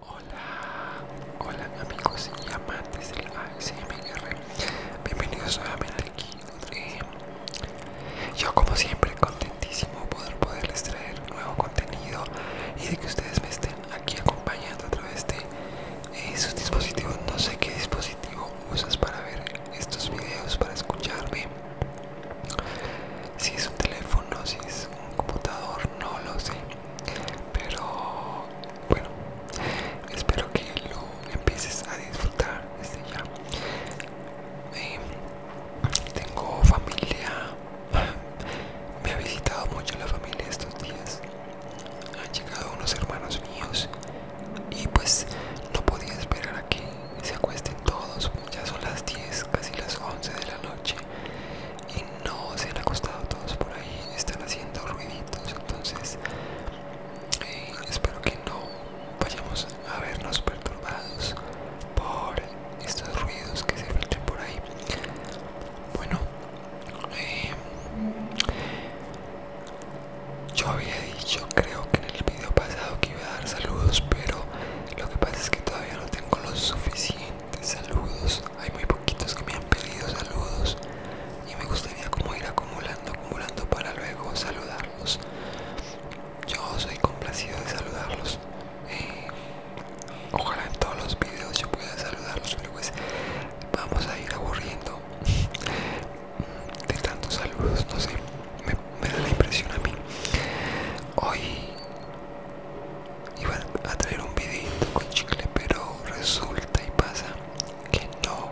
Hola, hola amigos y amantes del ASMR Bienvenidos nuevamente aquí Yo como siempre contentísimo poder poderles traer nuevo contenido Y de que ustedes me estén aquí acompañando a través de eh, sus dispositivos No sé qué dispositivo usas para ver estos videos, para escucharme Si es un teléfono, si es un computador, no lo sé. Pero bueno, espero que lo empieces a disfrutar desde ya. Eh, tengo familia, me ha visitado mucho la familia estos días. Han llegado unos hermanos míos y pues no podía esperar a que se acuesten todos. Ya son las 10, casi las 11 de la noche y no se han acostado todos por ahí, están haciendo ruiditos, entonces eh, espero que no vayamos a vernos perturbados por estos ruidos que se filtren por ahí. Bueno, eh, yo había dicho, creo que en el video pasado que iba a dar saludos, pero lo que pasa es que todavía no tengo lo suficiente saludos. Hay muy poquitos que me han pedido saludos y me gustaría como ir acumulando, acumulando para luego saludarlos. Yo soy complacido de saludarlos. Eh, ojalá en todos los videos yo pueda saludarlos, pero pues vamos a ir aburriendo de tantos saludos. No sé, me da la impresión a mí. Hoy iba a traer un videito con chicle pero resulta y pasa que no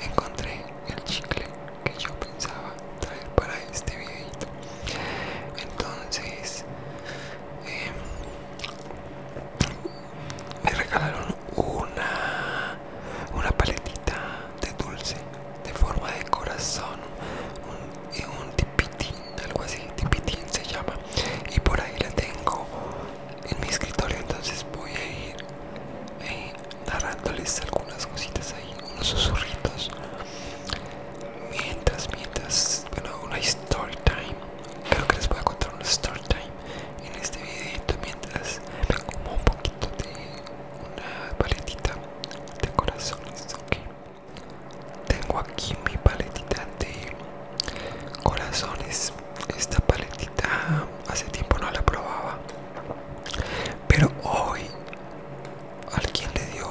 encontré el chicle que yo pensaba traer para este videito entonces em, me regalaron una una paletita de dulce de forma de corazón un, un tipiti algo así, tipitín se llama y por ahí la tengo en mi escritorio entonces voy a ir eh, narrándoles algunas cositas ahí, unos susurritos mientras, mientras, bueno una story time creo que les voy a contar una story time en este videito mientras me como un poquito de una paletita de corazones, ok tengo aquí mi paletita de corazones esta paletita hace tiempo no la probaba pero hoy alguien le dio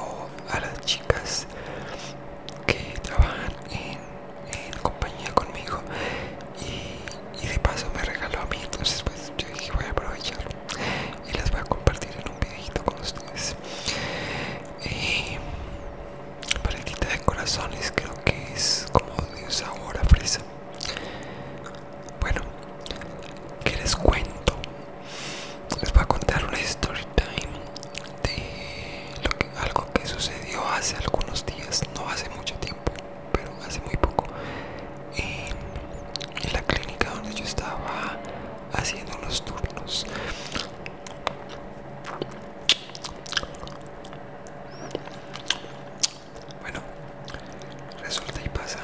a las chicas que trabajan en, compañía conmigo y, y de paso me regaló a mí entonces pues yo dije voy a aprovechar y las voy a compartir en un videito con ustedes eh, paletita de corazones creo que es como de un sabor a fresa bueno que les cuento les voy a contar una story time de algo que sucedió hace algunos días no hace mucho tiempo pero hace muy poco eh, la clínica donde yo estaba haciendo los turnos bueno resulta y pasa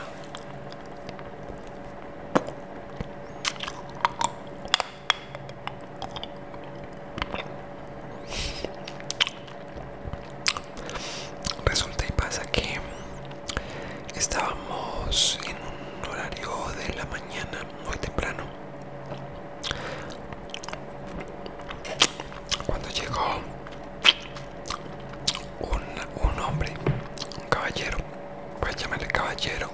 resulta y pasa que estábamos en un horario de la mañana muy temprano cuando llegó un, hombre un caballero voy a llamarle caballero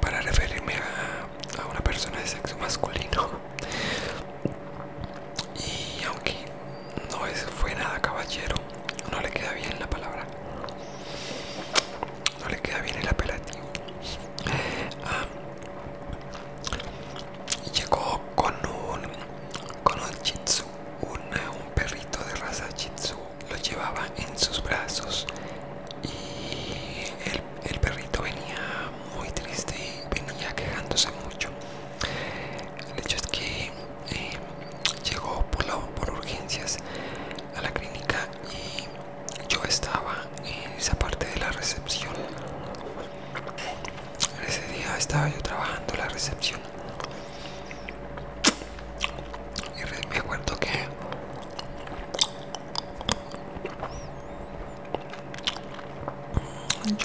para referirme a, una persona de sexo masculino y aunque no fue nada caballero no le queda bien la palabra no le queda bien el apelativo ah. llegó con un con un un perrito de raza shih lo llevaba en sus brazos y el, el perrito venía muy triste y venía quejándose mucho el hecho es que eh, llegó por, por urgencias a la clínica y yo estaba en esa parte de la recepción. Ese día estaba yo trabajando la recepción y me acuerdo que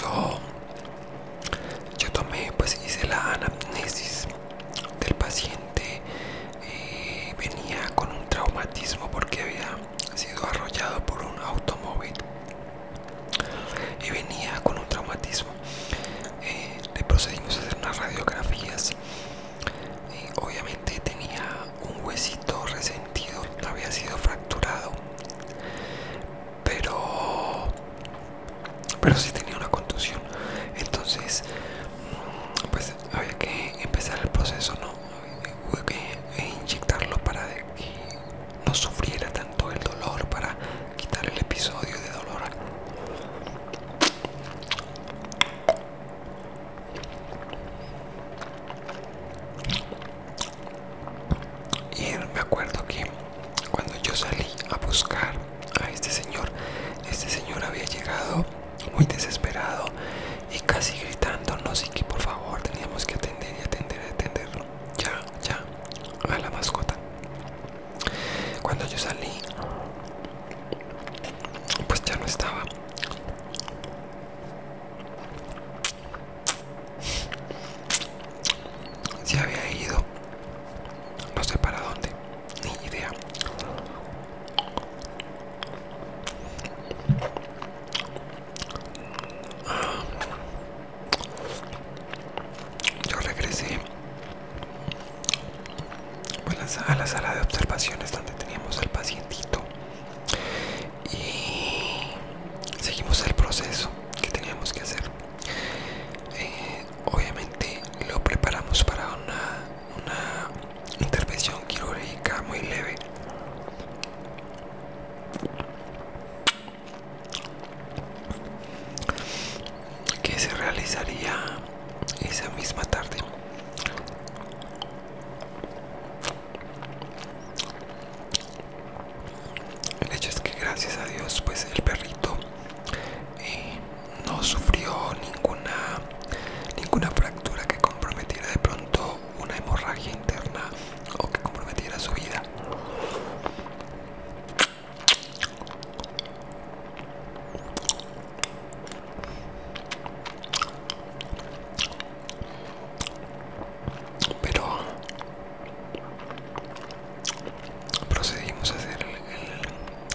yo yo tomé pues hice la anamnesis del paciente eh, venía con un traumatismo porque había sido arrollado por un automóvil y venía con un traumatismo eh, le procedimos a hacer unas radiografías y obviamente tenía un huesito resentido había sido fracturado pero pero si tenía una contusión entonces pues había que empezar el proceso no había que inyectarlo para que no sufriera tanto el dolor para quitar el episodio de dolor y me acuerdo que cuando yo salí a buscar a este señor, este señor había llegado muy desesperado y casi gritándonos y que por favor teníamos que atender y atender y atenderlo. Ya, ya, a la mascota. Cuando yo salí, pues ya no estaba. Se había ido, no sé para dónde, ni idea. Yo regresé pues, a la sala de observaciones donde teníamos al pacientito y seguimos el proceso que teníamos que hacer. Eh, obviamente lo preparamos para una, intervención quirúrgica muy leve que se realizaría esa misma tarde el hecho es que gracias a Dios pues el perrito eh, no sufrió ninguna, ninguna fractura que comprometiera de pronto una hemorragia interna o que comprometiera su vida pero procedimos a hacer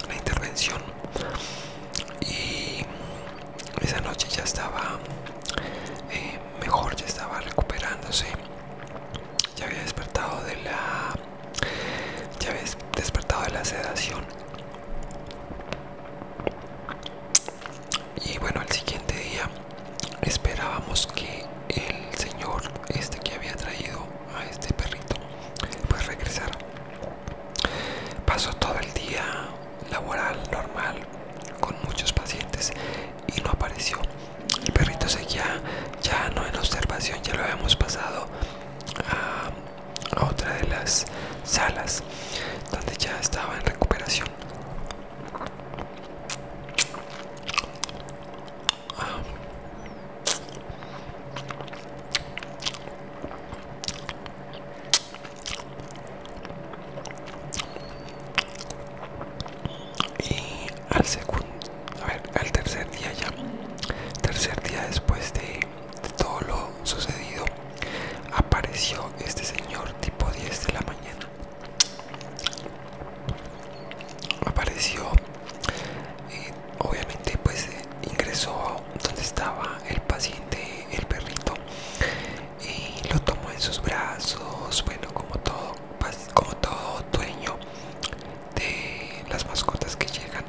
la intervención y esa noche ya estaba eh, mejor, ya estaba recuperándose, ya había despertado de la, ya había despertado de la sedación y bueno, el siguiente día esperábamos que el señor este que había traído a este perrito pues regresara pasó todo el día laboral normal con muchos pacientes y no apareció el perrito seguía ya no en observación ya lo habíamos pasado a, a otra de las salas donde ya estaba en recuperación y al segundo, a ver, al tercer día ya, tercer día después de, de todo lo sucedido, apareció este señor tipo 10 de la mañana apareció eh, obviamente pues eh, ingresó donde estaba el paciente el perrito y lo tomó en sus brazos bueno como todo como todo dueño de las mascotas que llegan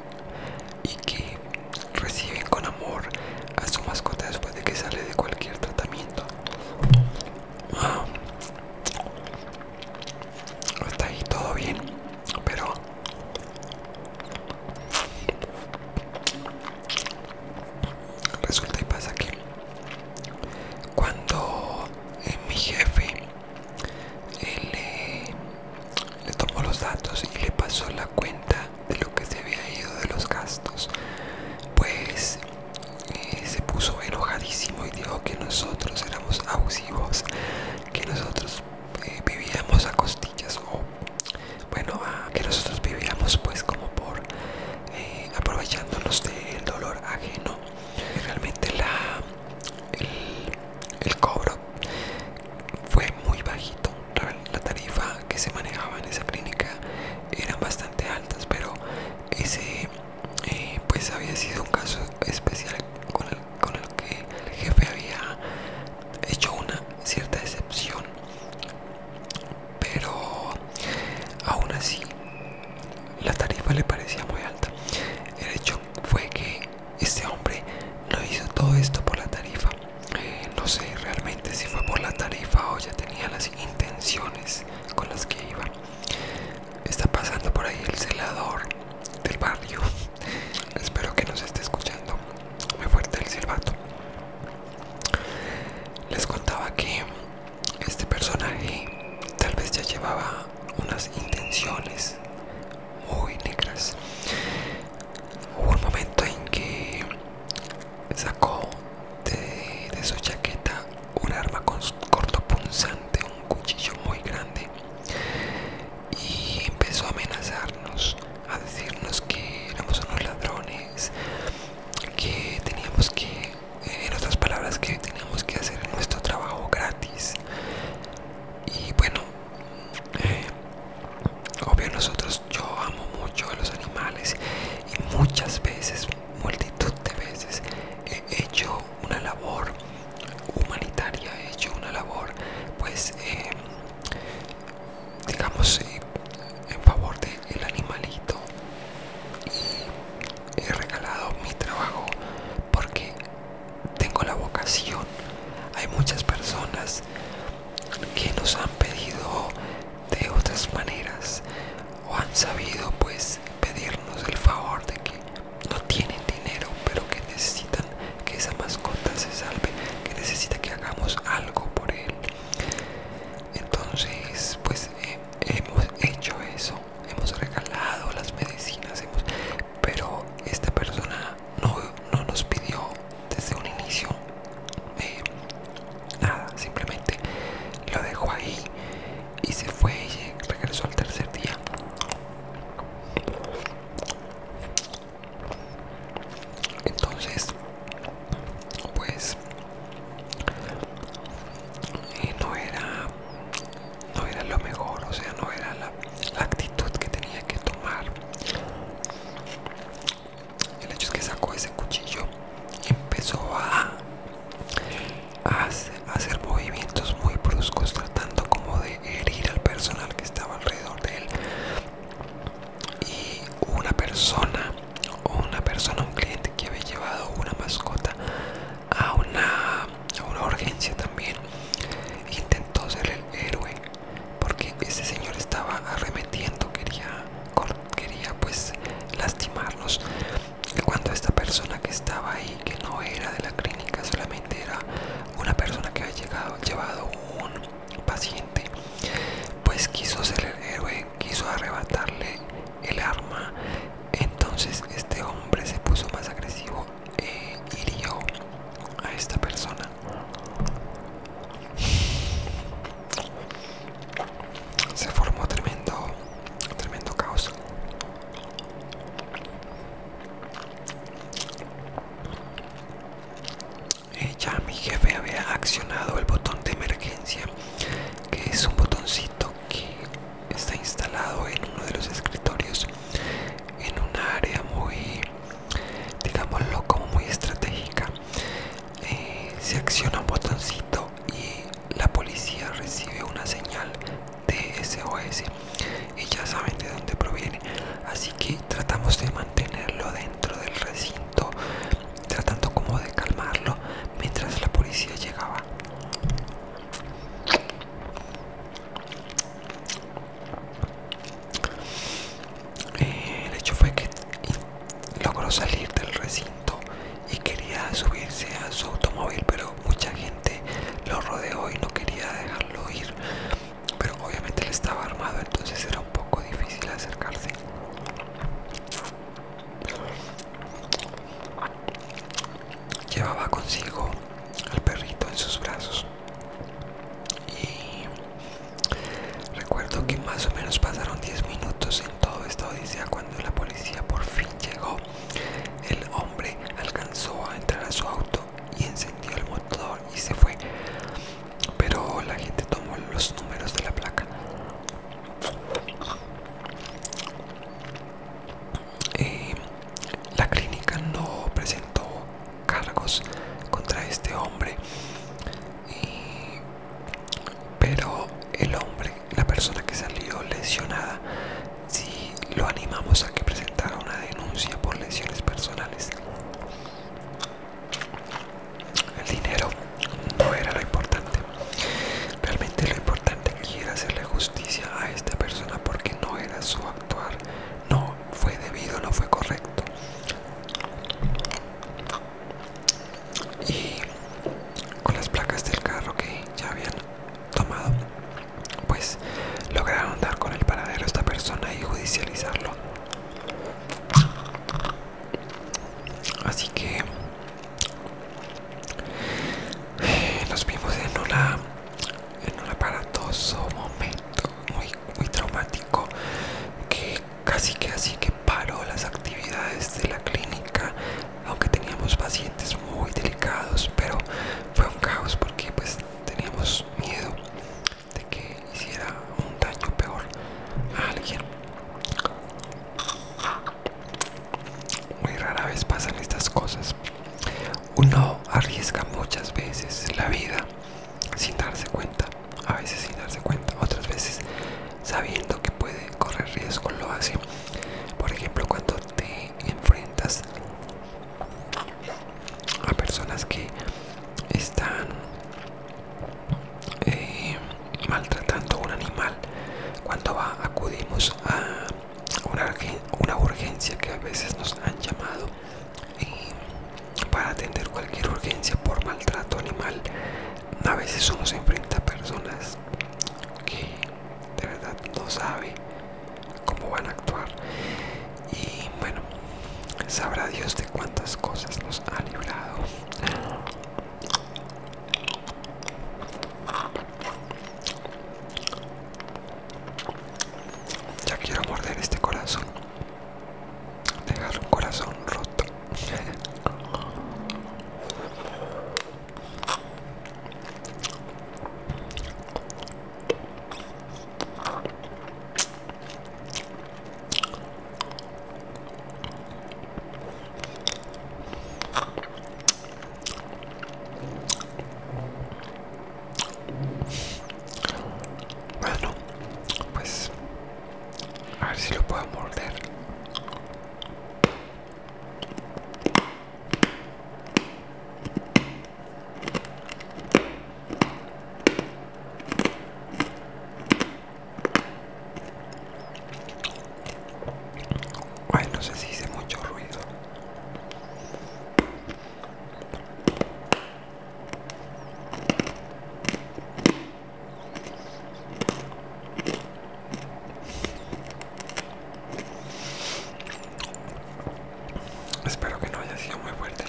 y que reciben con amor a su mascota después de que sale de cualquier tratamiento está ahí todo bien, pero resulta y pasa que cuando eh, mi jefe eh, le tomó los datos y le pasó la cuenta de lo que se había ido de los gastos, pues eh, se puso enojadísimo y dijo que nosotros éramos abusivos, que nosotros eh, vivíamos a costillas o bueno, que nosotros vivíamos pues como por eh, aprovechándonos del dolor ajeno. Realmente la, el, cobro fue muy bajito, la, la tarifa que se manejaba en esa clínica eran bastante altas, pero ese eh, pues había sido un caso especial con el, que el jefe había hecho una cierta excepción pero aún así la tarifa le parecía muy alta el hecho fue que este hombre no hizo todo esto por la tarifa eh, no sé realmente si fue por la tarifa o ya tenía la intenciones con las que iba. Está pasando por ahí el celador del barrio. Espero que nos esté escuchando. Me fuerte el silbato. Les contaba que este personaje tal vez ya llevaba unas intenciones muy negras. Hubo un momento en que Sacó de, su chaqueta un arma con cortopunzante, un cuchillo muy grande y empezó a amenazarnos, a decirnos que éramos unos ladrones, que teníamos que, eh, en otras palabras, que teníamos que hacer nuestro trabajo gratis. Y bueno, eh, obvio nosotros, yo amo mucho a los animales y muchas veces, multitud de veces he hecho una labor humanitaria, he hecho una labor, pues, em, digamos, eh, en favor del animalito y he regalado mi trabajo porque tengo la vocación. Hay muchas personas que nos han pedido de otras maneras o han sabido pues pedirnos el favor de que no tienen dinero pero que necesitan que esa mascota se salve que necesita que hagamos algo por él entonces pues eh, hemos hecho eso hemos regalado las medicinas pero esta persona no, nos pidió desde un inicio eh, nada, simplemente lo dejó ahí y se fue y regresó al tercer día. Entonces, pues eh, no era no era lo mejor, o sea, no era la, la actitud que tenía que tomar. El hecho es que sacó ese cuchillo y empezó a, a hacer movimientos muy bruscos, tratando como de herir al personal que estaba alrededor de él. Y una persona, una persona, un cliente que había llevado una mascota a una, a una urgencia también, intentó ser el héroe porque ese señor estaba arremetiendo, quería quería pues lastimarnos cuando esta persona que estaba ahí que no era de la clínica solamente era una persona que había llegado, llevado un paciente pues quiso ser el héroe quiso arrebatarle el arma entonces este hombre se puso más agresivo e hirió a esta persona se formó tremendo, tremendo caos. Ella, eh, ya mi jefe había accionado el botón de emergencia, que es un botoncito que está instalado en uno de los escritorios, en un área muy, digámoslo, como muy estratégica. Eh, se acciona un botoncito y la policía recibe una señal de SOS y ya saben de dónde proviene así que tratamos de mantenerlo dentro del recinto tratando como de calmarlo mientras la policía llegaba eh, el hecho fue que logró salir del recinto y quería subirse a su automóvil, pero mucha gente lo rodeó y no quería dejarlo ir. Pero obviamente él estaba armado, entonces era un poco difícil acercarse. Llevaba consigo al perrito en sus brazos y Recuerdo que más o menos pasaron 10 minutos en todo esta odisea cuando la policía por fin llegó. El hombre alcanzó a entrar a su auto y encendió el motor y se fue. Pero la gente tomó los números de la placa. Eh, la clínica no presentó cargos contra este hombre pero el hombre, la persona que salió lesionada, si lo animamos a que presentara una denuncia por lesiones personales, el dinero no era lo importante. Realmente lo importante que era hacerle justicia a esta persona porque no era su actuar, no fue debido, no fue correcto y con las placas del carro que ya habían tomado pues lograron dar con el paradero a esta persona y judicializarlo así que eh, nos vimos en una en un aparatoso momento muy, traumático que casi que así que paró las actividades de la clínica aunque teníamos pacientes muy delicados pero fue un caos porque pues teníamos miedo de que hiciera un daño peor a alguien muy rara vez pasan estas cosas uno arriesga muchas veces la vida sin darse cuenta, a veces sin darse cuenta, otras veces sabiendo que puede correr riesgo lo hace. Por ejemplo, cuando te enfrentas a personas que están eh, maltratando maltratando un animal, cuando acudimos a una urgencia que a veces nos han llamado y para atender cualquier urgencia por maltrato animal a veces uno se enfrenta a personas que de verdad no sabe cómo van a actuar y bueno sabrá Dios de cuántas cosas nos ha librado ya quiero morder este corazón Dejar un corazón roto. Bueno, pues a ver si lo puedo morder. Ay, no sé si hice mucho ruido. Espero que no haya sido muy fuerte.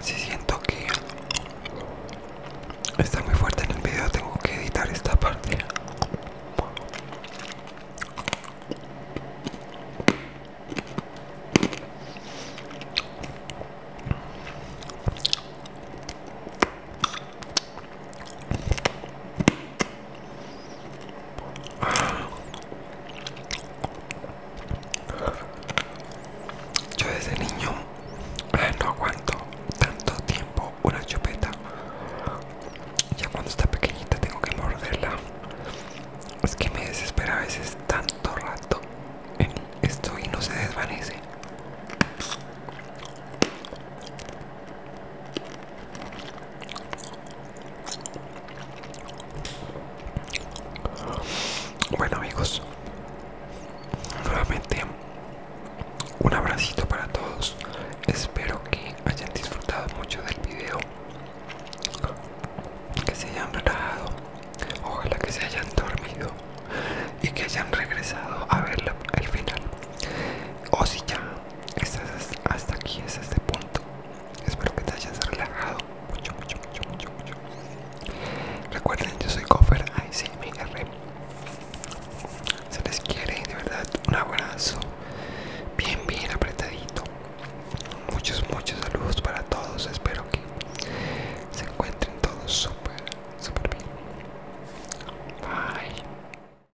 Si siento que está muy fuerte en el video, tengo que editar esta parte. Yo desde niño eh, no aguanto tanto tiempo una chupeta. Ya cuando está pequeñita tengo que morderla. Es que me desespera a veces tanto rato en esto y no se desvanece. Bueno amigos, nuevamente un abracito para todos. Espero que hayan disfrutado mucho del video, que se hayan relajado, ojalá que se hayan dormido y que hayan regresado a verlo al final. O si ya hasta aquí, hasta este punto. Espero que te hayas relajado mucho, mucho, mucho, mucho, mucho. Recuerden, yo soy Cofer ICMR. Se les quiere de verdad un abrazo bien, bien apretadito. Muchos, muchos saludos para todos. Espero que se encuentren todos súper, súper bien. Bye.